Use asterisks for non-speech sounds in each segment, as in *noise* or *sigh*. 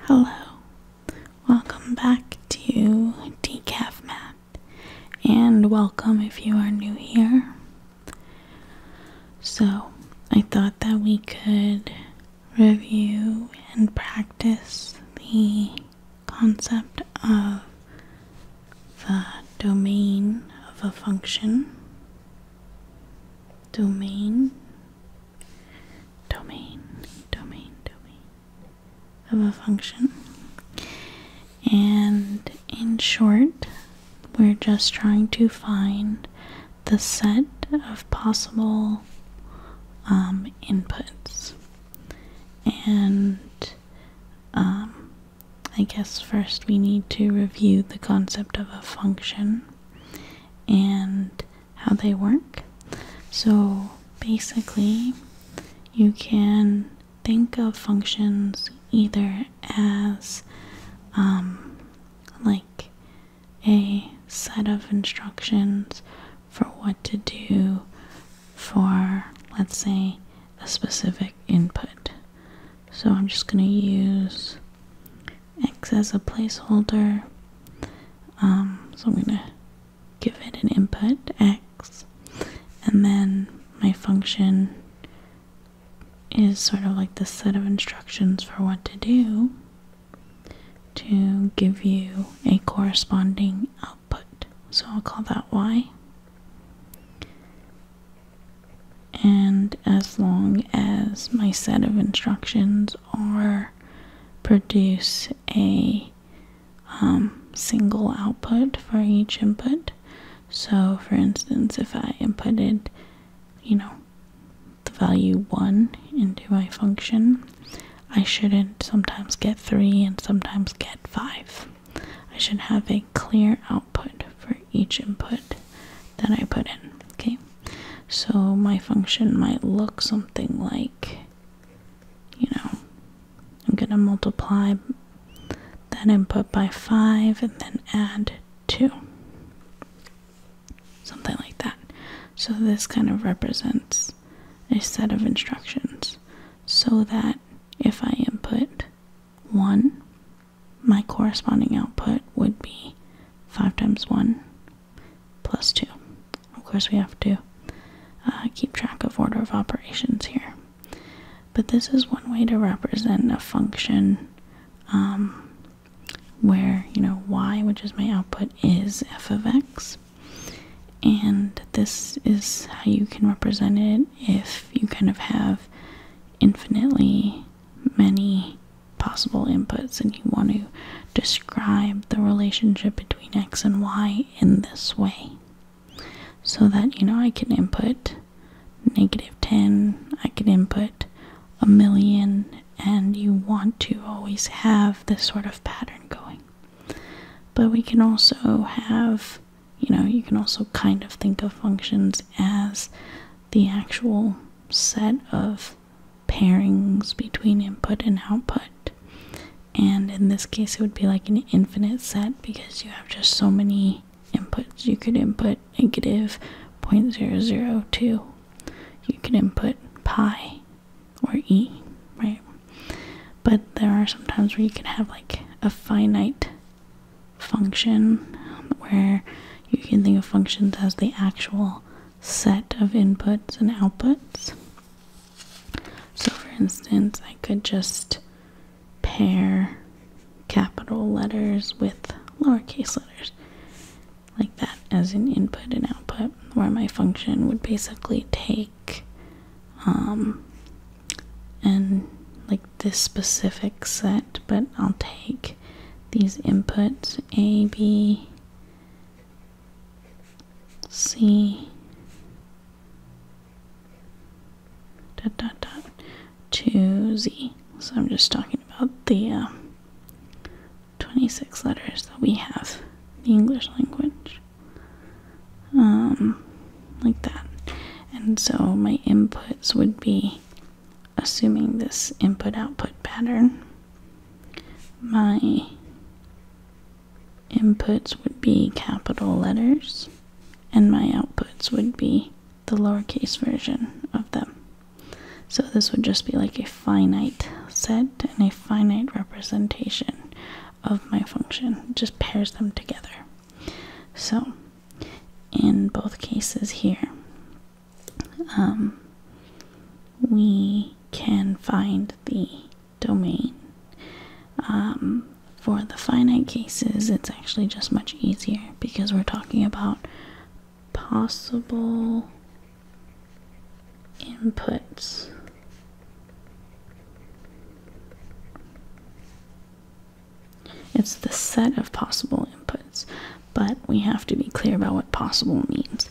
Hello, welcome back to Decaf Math, and welcome if you are new here. So, I thought that we could review and practice the concept of the domain of a function. Domain domain, domain, domain of a function. And in short, we're just trying to find the set of possible um, inputs. And um, I guess first we need to review the concept of a function and how they work. So basically, you can think of functions either as um, like a set of instructions for what to do for, let's say, a specific input. So I'm just going to use X as a placeholder. Um, so I'm going to give it an input, X. And then my function is sort of like the set of instructions for what to do to give you a corresponding output. So I'll call that Y. And as long as my set of instructions are produce a um, single output for each input. So, for instance, if I inputted, you know, the value 1 into my function, I shouldn't sometimes get 3 and sometimes get 5. I should have a clear output for each input that I put in. Okay, so my function might look something like, you know, I'm going to multiply that input by 5 and then add 2. Something like that. So this kind of represents a set of instructions so that if I input 1, my corresponding output would be 5 times 1 plus 2. Of course, we have to uh, keep track of order of operations here. But this is one way to represent a function um, where, you know, y, which is my output, is f of x. And this is how you can represent it if you kind of have infinitely many possible inputs and you want to describe the relationship between x and y in this way so that you know I can input negative 10 I can input a million and you want to always have this sort of pattern going but we can also have you know you can also kind of think of functions as the actual set of pairings between input and output. And in this case, it would be like an infinite set because you have just so many inputs. You could input negative 0.002, you could input pi or e, right? But there are some times where you can have like a finite function where you can think of functions as the actual set of inputs and outputs. So, for instance, I could just pair capital letters with lowercase letters like that as an input and output, where my function would basically take um, and like this specific set, but I'll take these inputs a, b, C dot dot dot to Z. So I'm just talking about the um, 26 letters that we have in the English language. Um, like that. And so my inputs would be assuming this input output pattern my inputs would be capital letters and my outputs would be the lowercase version of them. So this would just be like a finite set and a finite representation of my function. just pairs them together. So in both cases here, um, we can find the domain. Um, for the finite cases, it's actually just much easier because we're talking about possible inputs. It's the set of possible inputs, but we have to be clear about what possible means.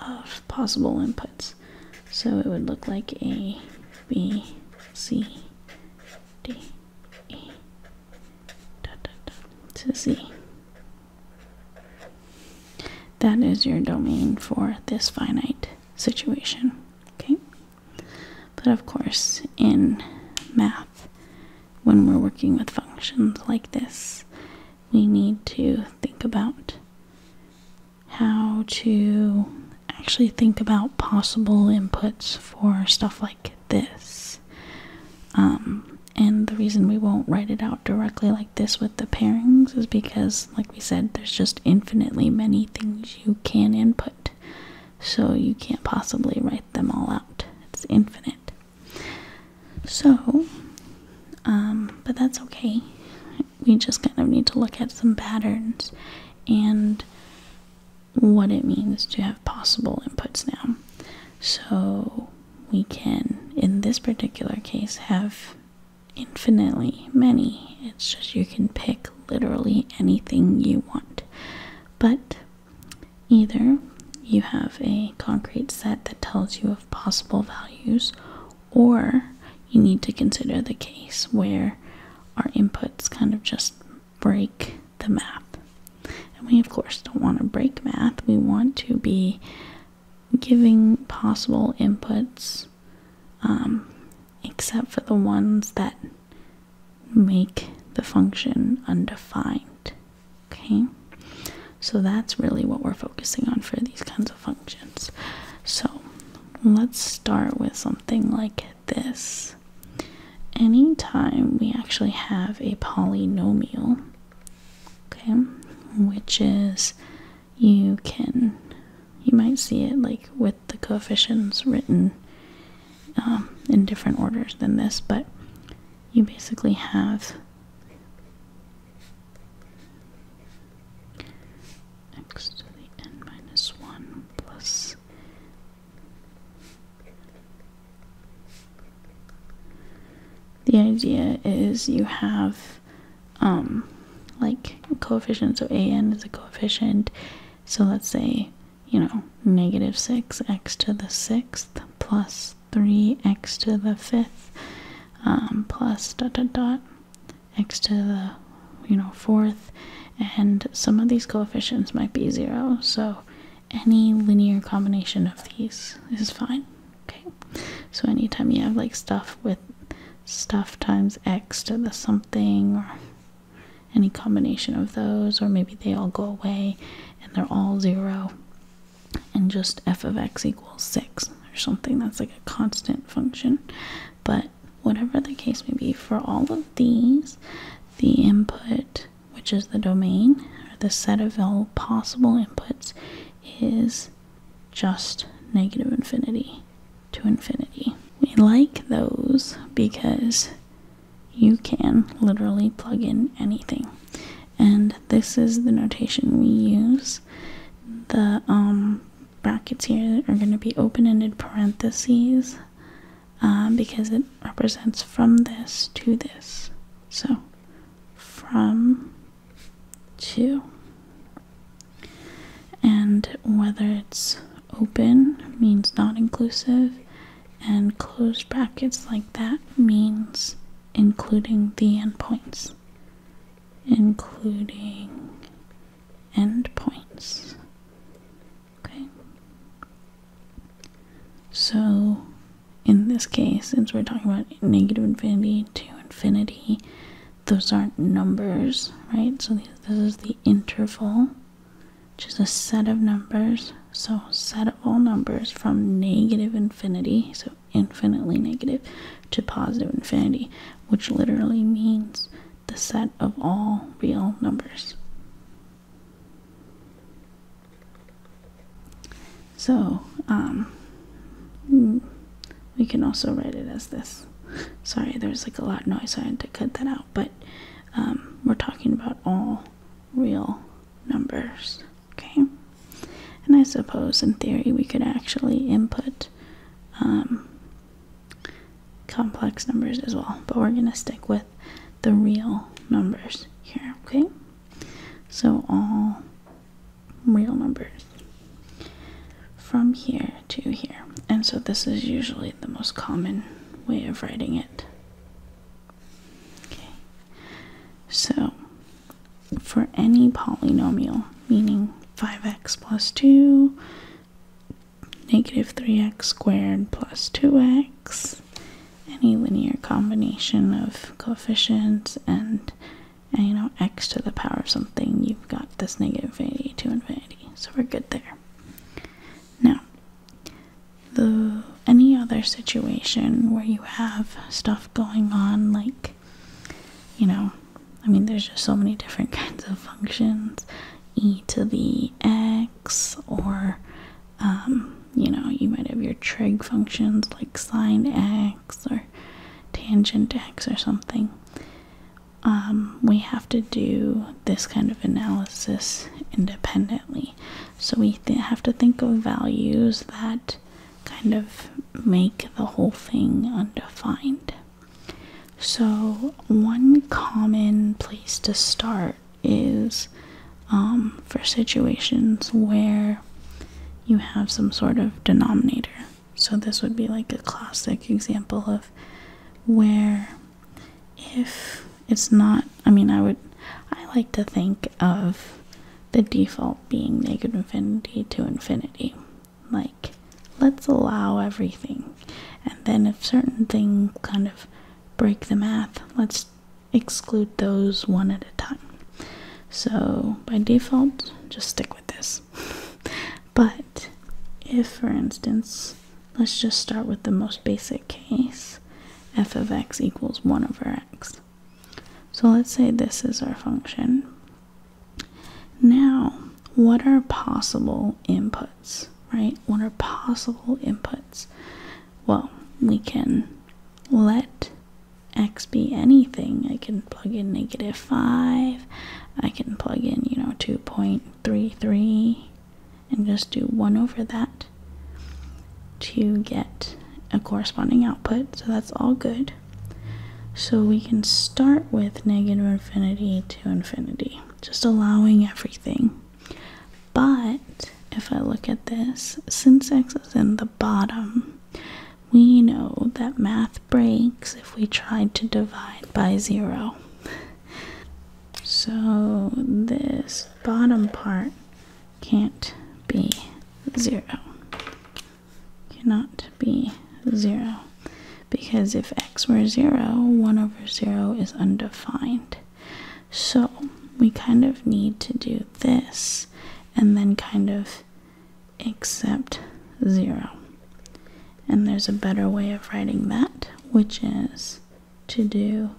of possible inputs. So it would look like A, B, C, D, E, to Z. That is your domain for this finite situation. Okay? But of course, in math, when we're working with functions like this, we need to think about how to actually think about possible inputs for stuff like this. Um, and the reason we won't write it out directly like this with the pairings is because, like we said, there's just infinitely many things you can input. So you can't possibly write them all out. It's infinite. So, um, but that's okay we just kind of need to look at some patterns and what it means to have possible inputs now. So we can, in this particular case, have infinitely many. It's just you can pick literally anything you want. But either you have a concrete set that tells you of possible values, or you need to consider the case where our inputs kind of just break the math. And we, of course, don't want to break math. We want to be giving possible inputs, um, except for the ones that make the function undefined. Okay? So that's really what we're focusing on for these kinds of functions. So let's start with something like this. Anytime we actually have a polynomial, okay, which is you can, you might see it like with the coefficients written um, in different orders than this, but you basically have x to the n minus 1 plus the idea is you have um like coefficients so a n is a coefficient so let's say you know negative 6 x to the sixth plus 3 x to the fifth um, plus dot dot dot x to the you know fourth and some of these coefficients might be zero so any linear combination of these is fine okay so anytime you have like stuff with stuff times x to the something or any combination of those or maybe they all go away and they're all zero and just f of x equals 6 or something that's like a constant function but whatever the case may be, for all of these, the input, which is the domain, or the set of all possible inputs, is just negative infinity to infinity. We like those because you can literally plug in anything. And this is the notation we use. The um, brackets here are going to be open-ended parentheses um, because it represents from this to this. So from to. And whether it's open means not inclusive, and closed brackets like that means including the endpoints including endpoints. Okay. So in this case, since we're talking about negative infinity to infinity, those aren't numbers, right? So this is the interval, which is a set of numbers. So set of all numbers from negative infinity, so infinitely negative, to positive infinity, which literally means the set of all real numbers. So, um, we can also write it as this. Sorry, there's like a lot of noise, so I had to cut that out, but um, we're talking about all real numbers, okay? And I suppose in theory we could actually input um, complex numbers as well, but we're going to stick with the real numbers here, okay? So all real numbers from here to here. And so this is usually the most common way of writing it. Okay. So for any polynomial, meaning 5x plus 2, negative 3x squared plus 2x, any linear combination of coefficients and, and you know x to the power of something, you've got this negative infinity to infinity. So we're good there. Now, the any other situation where you have stuff going on like you know, I mean, there's just so many different *laughs* kinds of functions e to the x, or um, you know, you might have your trig functions like sine x or tangent x or something. Um, we have to do this kind of analysis independently. So we have to think of values that kind of make the whole thing undefined. So, one common place to start is um, for situations where you have some sort of denominator. So, this would be like a classic example of where if it's not, I mean, I would, I like to think of the default being negative infinity to infinity. Like, let's allow everything. And then if certain things kind of break the math, let's exclude those one at a time. So by default, just stick with this. *laughs* but if, for instance, let's just start with the most basic case, f of x equals 1 over x. So let's say this is our function, now, what are possible inputs, right? What are possible inputs? Well, we can let x be anything. I can plug in negative 5. I can plug in, you know, 2.33 and just do 1 over that to get a corresponding output. So that's all good. So we can start with negative infinity to infinity, just allowing everything. But if I look at this, since x is in the bottom, we know that math breaks if we tried to divide by zero. So this bottom part can't be zero cannot be 0 because if x were 0, 1 over 0 is undefined. So we kind of need to do this and then kind of accept 0. And there's a better way of writing that, which is to do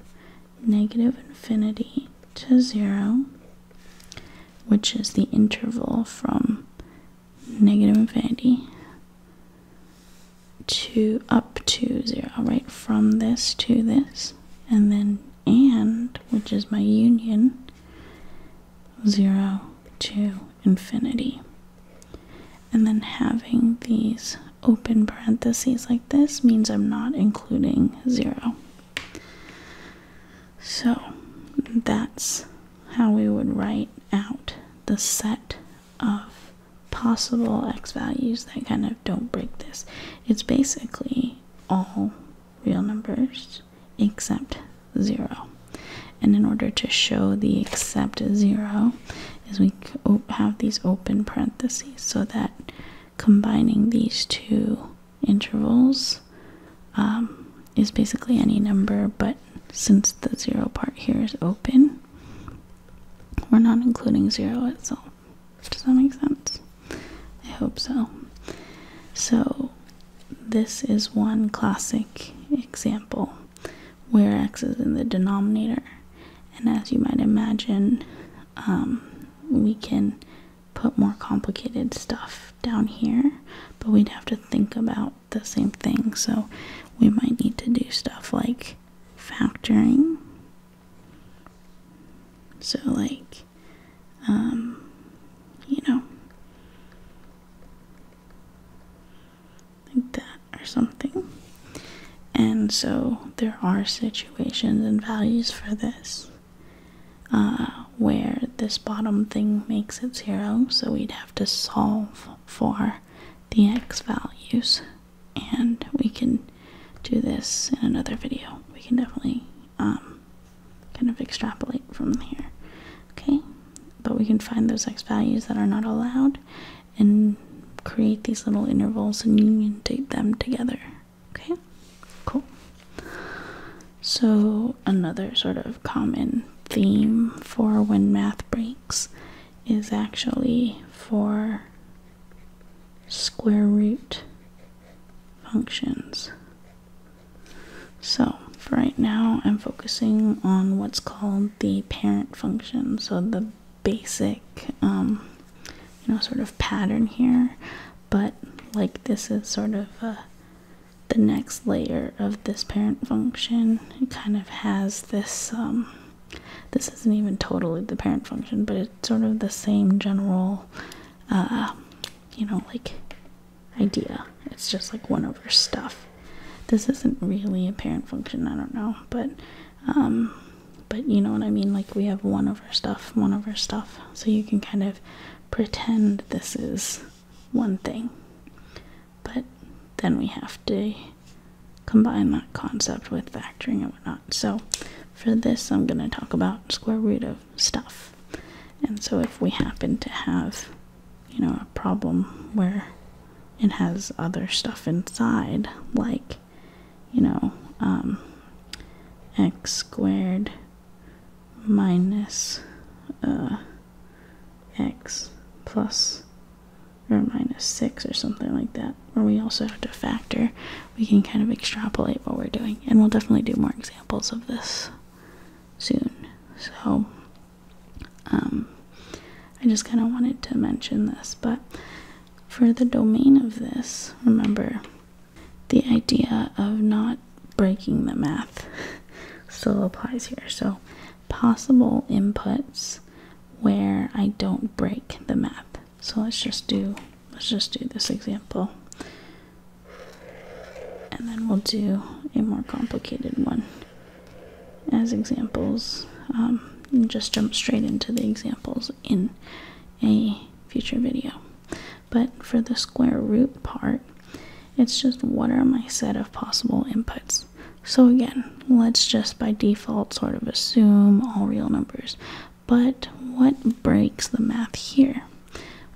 negative infinity to 0, which is the interval from negative infinity to up to zero, right? From this to this. And then and, which is my union, zero to infinity. And then having these open parentheses like this means I'm not including zero. So that's how we would write out the set of possible x values that kind of don't break this. It's basically all real numbers except 0. And in order to show the except 0 is we have these open parentheses so that combining these two intervals um, is basically any number, but since the zero part here is open, we're not including zero itself. Does that make sense? I hope so. So, this is one classic example where x is in the denominator, and as you might imagine, um, we can put more complicated stuff down here, but we'd have to think about the same thing. So we might need to do stuff like factoring. So, like, um, you know, like that or something. And so there are situations and values for this. Uh, where this bottom thing makes it zero, so we'd have to solve for the x values and we can do this in another video we can definitely um, kind of extrapolate from here okay but we can find those x values that are not allowed and create these little intervals and unitate them together okay cool so another sort of common theme for when math breaks is actually for square root functions. So, for right now, I'm focusing on what's called the parent function. So, the basic, um, you know, sort of pattern here, but like this is sort of a the next layer of this parent function it kind of has this um, this isn't even totally the parent function but it's sort of the same general uh, you know like idea it's just like one over stuff this isn't really a parent function i don't know but um, but you know what i mean like we have one over stuff one over stuff so you can kind of pretend this is one thing but then we have to combine that concept with factoring and whatnot. So for this, I'm going to talk about square root of stuff. And so if we happen to have, you know, a problem where it has other stuff inside, like, you know, um, x squared minus uh, x plus or minus 6 or something like that, where we also have to factor, we can kind of extrapolate what we're doing. And we'll definitely do more examples of this soon. So, um, I just kind of wanted to mention this. But for the domain of this, remember the idea of not breaking the math *laughs* still applies here. So, possible inputs where I don't break the math. So let's just do let's just do this example. And then we'll do a more complicated one as examples. Um, and just jump straight into the examples in a future video. But for the square root part, it's just what are my set of possible inputs? So again, let's just by default sort of assume all real numbers. But what breaks the math here?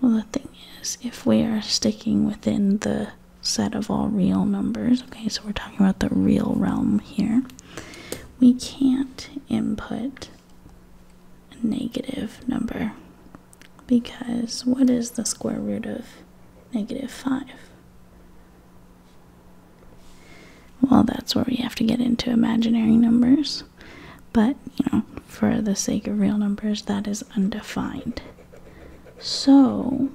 Well, the thing is, if we are sticking within the set of all real numbers, okay, so we're talking about the real realm here, we can't input a negative number because what is the square root of negative 5? Well, that's where we have to get into imaginary numbers, but you know, for the sake of real numbers, that is undefined. So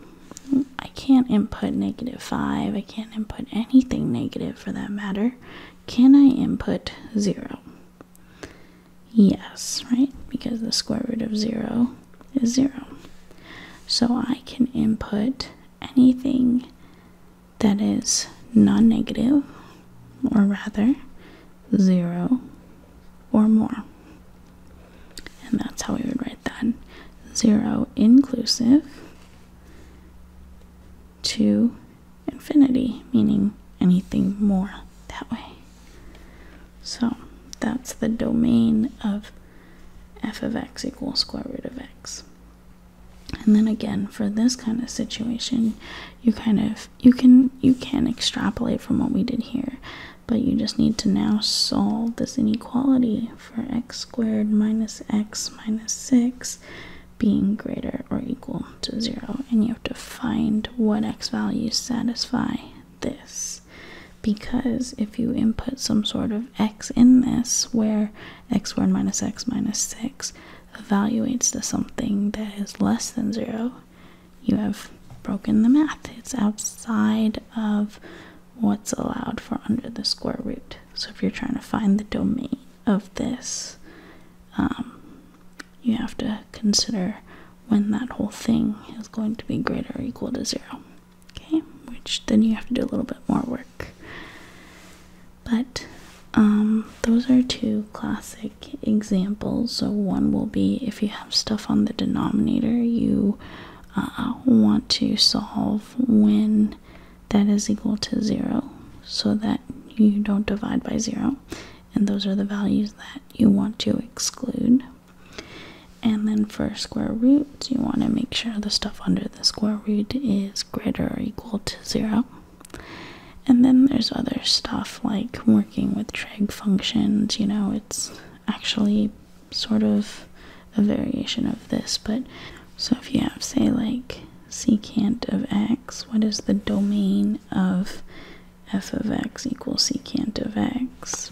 I can't input negative 5, I can't input anything negative for that matter. Can I input 0? Yes, right? Because the square root of 0 is 0. So I can input anything that is non negative, or rather 0 or more. And that's how we would write that 0 inclusive to infinity, meaning anything more that way. So that's the domain of f of x equals square root of x. And then again, for this kind of situation, you kind of you can you can extrapolate from what we did here, but you just need to now solve this inequality for x squared minus x minus 6 being greater or equal to 0 and you have to find what x values satisfy this because if you input some sort of x in this where x squared minus x minus 6 evaluates to something that is less than 0 you have broken the math it's outside of what's allowed for under the square root so if you're trying to find the domain of this um, you have to consider when that whole thing is going to be greater or equal to zero. Okay, which then you have to do a little bit more work. But um, those are two classic examples. So, one will be if you have stuff on the denominator, you uh, want to solve when that is equal to zero so that you don't divide by zero. And those are the values that you want to exclude. And then for square roots, you want to make sure the stuff under the square root is greater or equal to zero. And then there's other stuff like working with trig functions, you know, it's actually sort of a variation of this, but so if you have, say, like secant of x, what is the domain of f of x equals secant of x.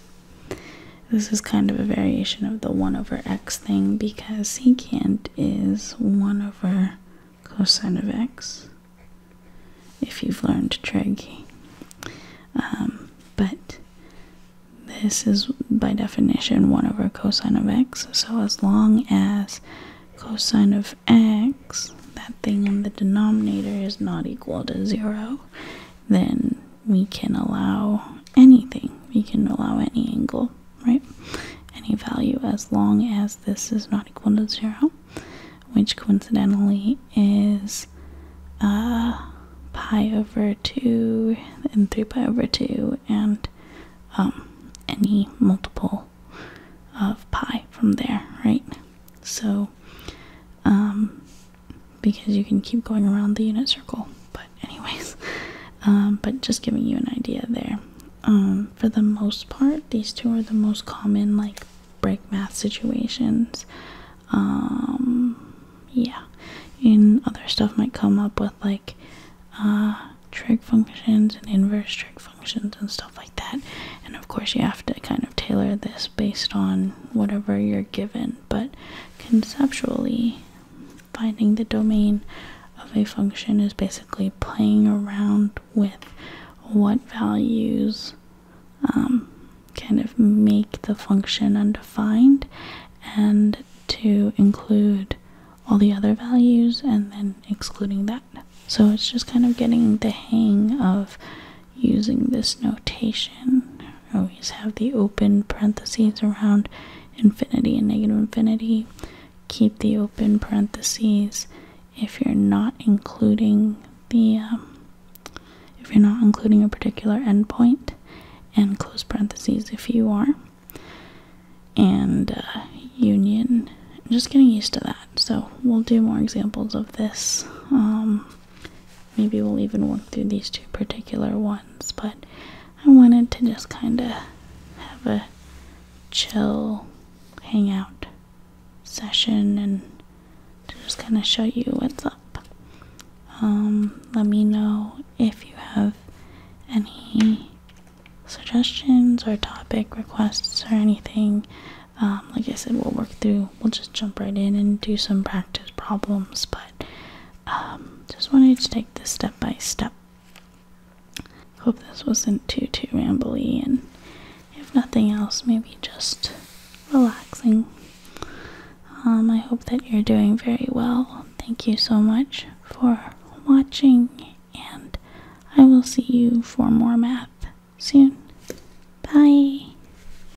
This is kind of a variation of the 1 over x thing because secant is 1 over cosine of x, if you've learned trig. Um, but this is by definition 1 over cosine of x, so as long as cosine of x, that thing in the denominator, is not equal to 0, then we can allow anything. We can allow any angle, right? Any value as long as this is not equal to zero, which coincidentally is uh, pi over 2 and 3 pi over 2 and um, any multiple of pi from there, right? So um, because you can keep going around the unit circle. But anyways, *laughs* um, but just giving you an idea there. Um, for the most part, these two are the most common like break math situations. Um, yeah, and other stuff might come up with like uh, trig functions and inverse trig functions and stuff like that. And of course, you have to kind of tailor this based on whatever you're given, but conceptually, finding the domain of a function is basically playing around with what values um, kind of make the function undefined and to include all the other values and then excluding that. So it's just kind of getting the hang of using this notation. Always have the open parentheses around infinity and negative infinity. Keep the open parentheses if you're not including the um, if you're not including a particular endpoint, and close parentheses if you are. And uh, union. I'm just getting used to that, so we'll do more examples of this. Um, Maybe we'll even work through these two particular ones, but I wanted to just kind of have a chill hangout session and to just kind of show you what's up. Um, let me know if you have any suggestions or topic requests or anything. Um, like I said, we'll work through we'll just jump right in and do some practice problems, but um, just wanted to take this step by step. Hope this wasn't too too rambly, and if nothing else, maybe just relaxing. Um, I hope that you're doing very well. Thank you so much for watching, and I will see you for more math soon. Bye.